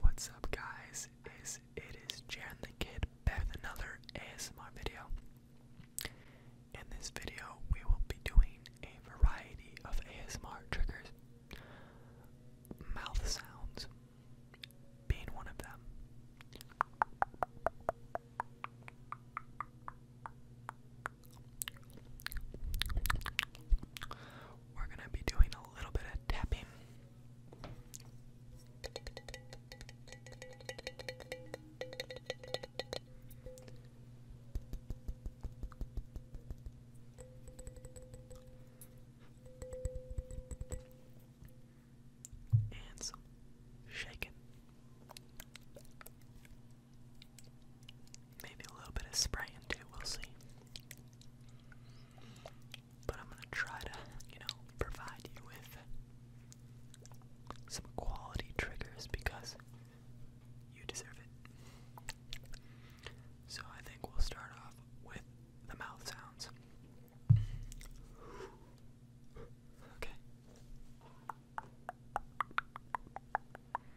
What's up guys? it is Jaren the Kid back with another ASMR video. In this video we will be doing a variety of ASMR triggers. Mouth sounds being one of them we're gonna be doing a little bit of tapping. And some shaking. Maybe a little bit of spraying too, we'll see. But I'm gonna try to, you know, provide you with some quality triggers because you deserve it. So I think we'll start off with the mouth sounds. Okay.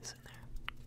This in there. Okay.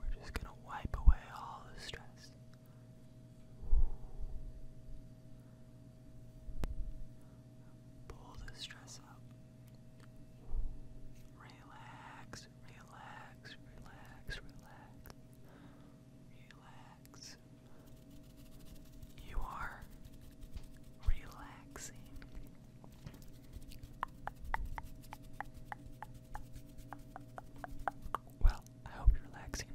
We're just gonna wipe away all the stress. Pull the stress up. Relax, relax, relax, relax. Relax. You are relaxing. Well, I hope you're relaxing.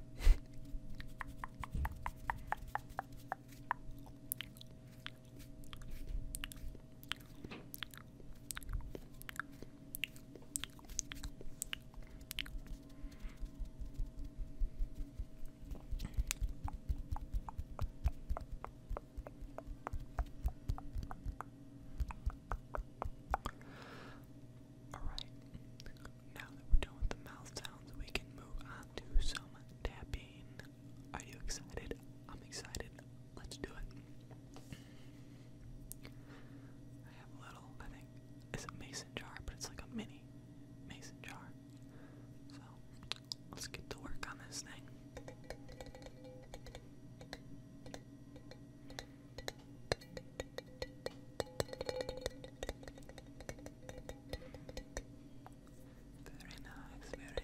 Alright, now that we're done the mouth sounds, we can move on to some tapping. Are you excited? I'm excited. Let's do it. I have a little, I think, it's a mason jar, but it's like a mini mason jar. So, let's get to work on this thing. Very nice, very nice.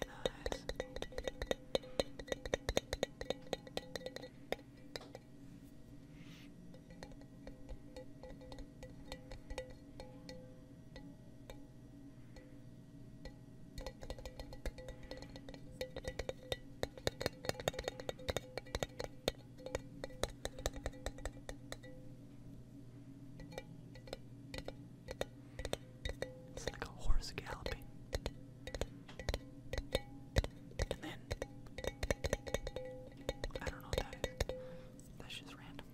It's like a horse galloping. And then I don't know what that is. That's just random.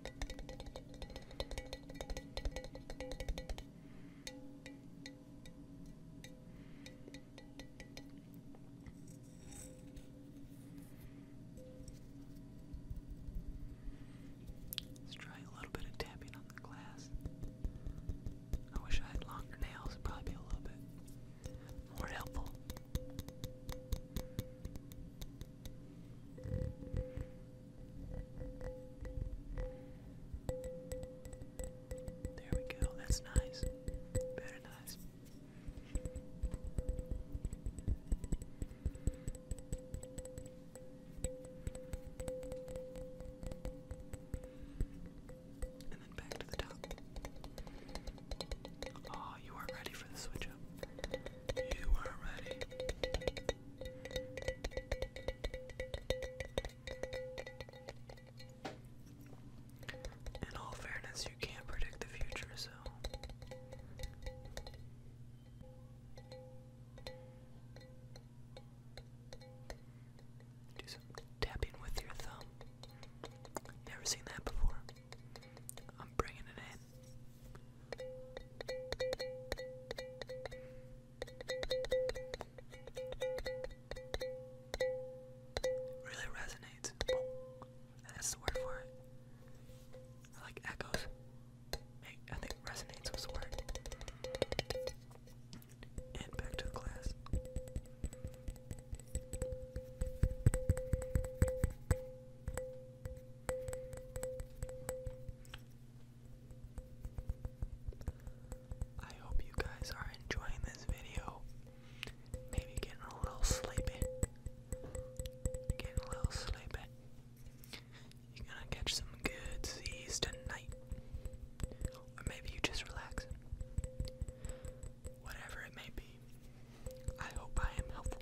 Let's try a little bit of tapping on the glass. I wish I had longer nails, would probably be a little bit more helpful. There we go. That's nice. Very nice. And then back to the top. Oh, you weren't ready for the switch up. You weren't ready. In all fairness, you can't predict the future, so. Do tapping with your thumb. Never seen that before. I'm bringing it in. Really resonates. That's the word for it. I like echoes. I think resonates was the word. And back to class. I hope you guys are enjoying this video. Maybe getting a little sleepy. Getting a little sleepy. You're gonna catch some good seas tonight. Or maybe you just relax. Whatever it may be. I hope I am helpful.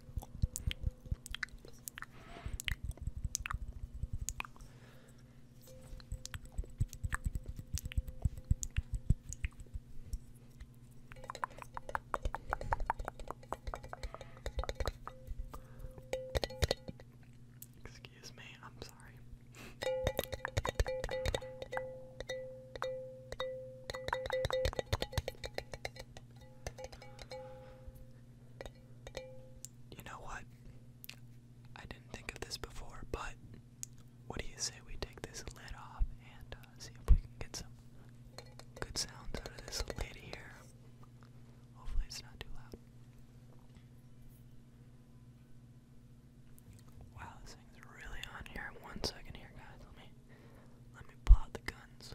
Excuse me, I'm sorry. You know what? I didn't think of this before, but what do you say we take this lid off and uh, see if we can get some good sounds out of this lid here? Hopefully, it's not too loud. Wow, this thing's really on here. One second here, guys. Let me let me plot the guns.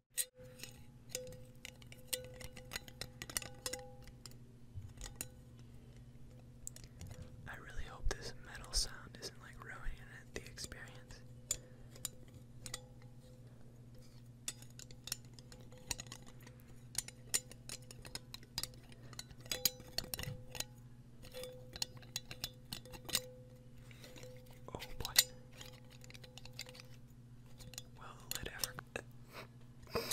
I really hope this metal sound isn't like ruining the experience. Oh boy. Will the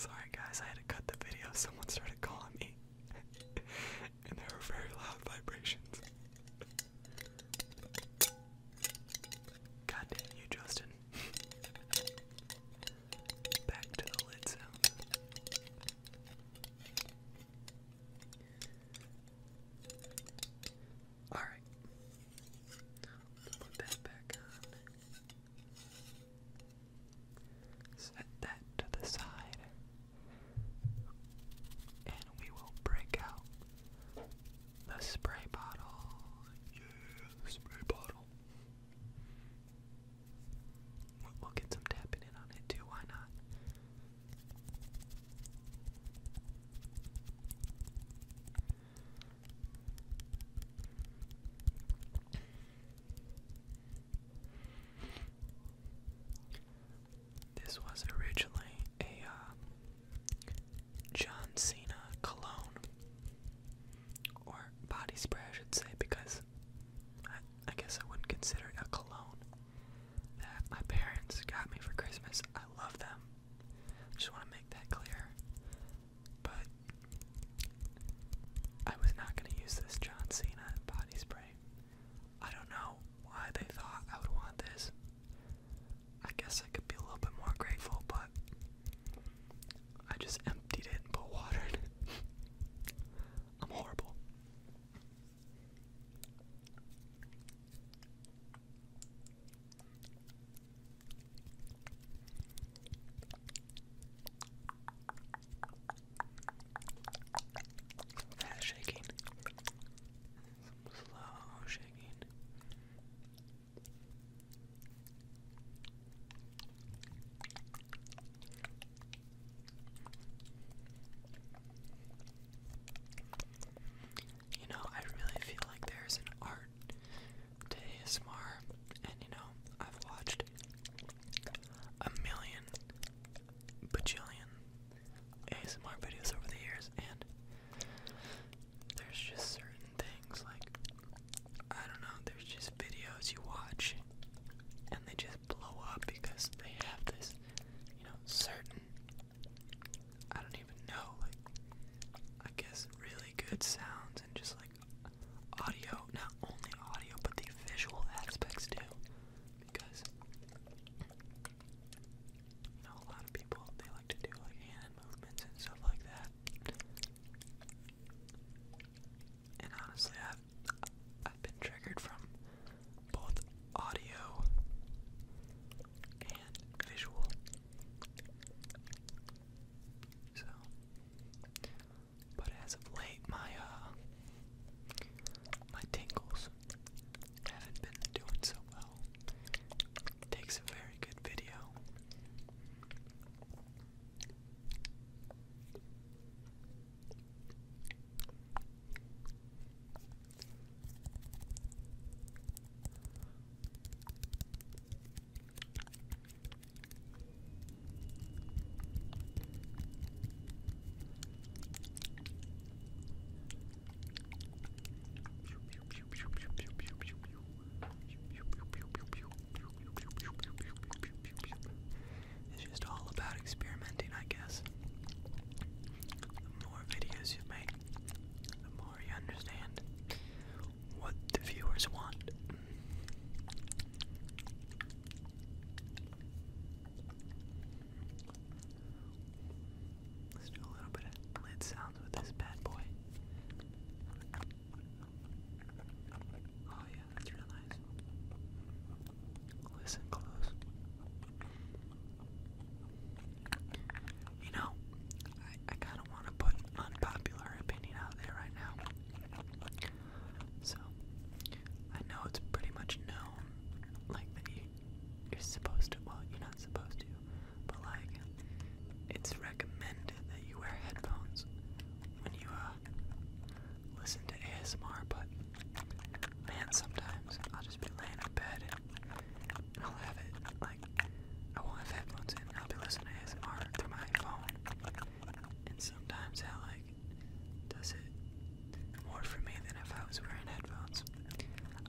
Sorry guys, I had to cut the video. Someone started calling me, and there were very loud vibrations. God you, Justin. Back to the lid sound. Alright. Put that back on. Set that to the side. And we will break out the spray bottle. Yeah, spray bottle. We'll get some tapping in on it too, why not? This was originally a uh, John Cena cologne or body spray, I should say, because I guess I wouldn't consider it a cologne that my parents got me for Christmas. I love them. Just want to make that clear. But I was not going to use this John Cena body spray. I don't know why they thought I would want this. I guess I could be a little bit more grateful, but I just emptied it and put water in I'm horrible. Fast shaking. Some slow shaking. You know, I really feel like there's an art to ASMR, and you know, I've watched a million, bajillion ASMR videos over the years, and there's just certain things like, I don't know, there's just videos you watch, and they just blow up because they have this, you know, certain I don't even know, like, I guess really good sounds and just like audio, not only audio, but the visual aspects too. Because, you know, a lot of people, they like to do like hand movements and stuff like that. And honestly, I've, I've been triggered from both audio and visual. So, but as of late, my uh, my tingles haven't been doing so well. It takes a very good video. It's just all about experimenting, I guess. The more videos you make, the more you understand what the viewers want. Let's do a little bit of lid sounds with this bad boy. Oh yeah, that's real nice. Listen close. You know, I, I kind of want to put unpopular opinion out there right now. So, I know it's pretty much known, like, that you're supposed to, well, you're not supposed to, but, like, it's recommended that you wear headphones when you, uh, listen to ASMR, but Man, sometimes I'll just be laying in bed and I'll have it like I won't have headphones in. I'll be listening to ASMR through my phone, and sometimes that like does it more for me than if I was wearing headphones.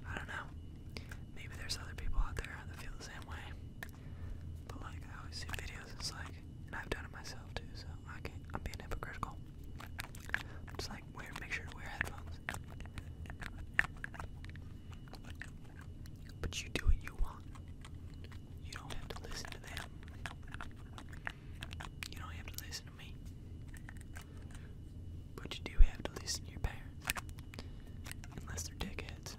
I don't know. Maybe there's other people out there that feel the same way, but like I always see videos. It's like, and I've done it myself too, so I can't. I'm being hypocritical just like, wear, make sure to wear headphones. But you do what you want. You don't have to listen to them. You don't have to listen to me. But you do have to listen to your parents. Unless they're dickheads.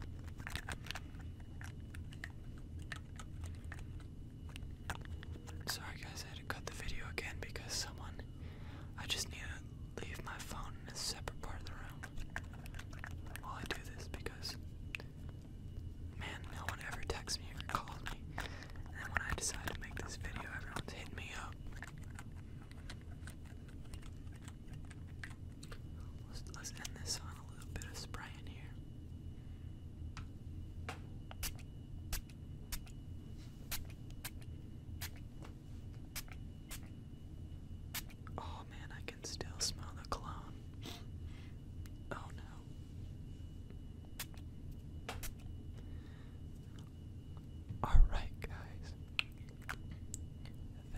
Sorry guys, I had to cut the video again because someone I just need to leave my phone in a separate part of the room while I do this because man, no one ever texts me or calls me. And then when I decide to make this video, everyone's hitting me up. let's end this on a little bit of spray in here. Oh man, I can still smell the cologne. Oh no. Alright, guys.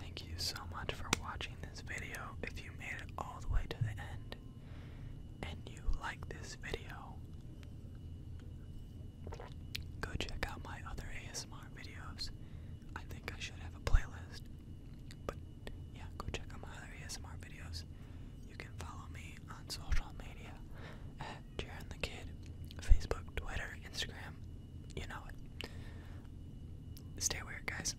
Thank you so much for watching this video. If you made it all the way to the end, and you like this video, go check out my other ASMR videos. I think I should have a playlist, but yeah, go check out my other ASMR videos. You can follow me on social media at Jaren the Kid, Facebook, Twitter, Instagram. You know it. Stay weird, guys.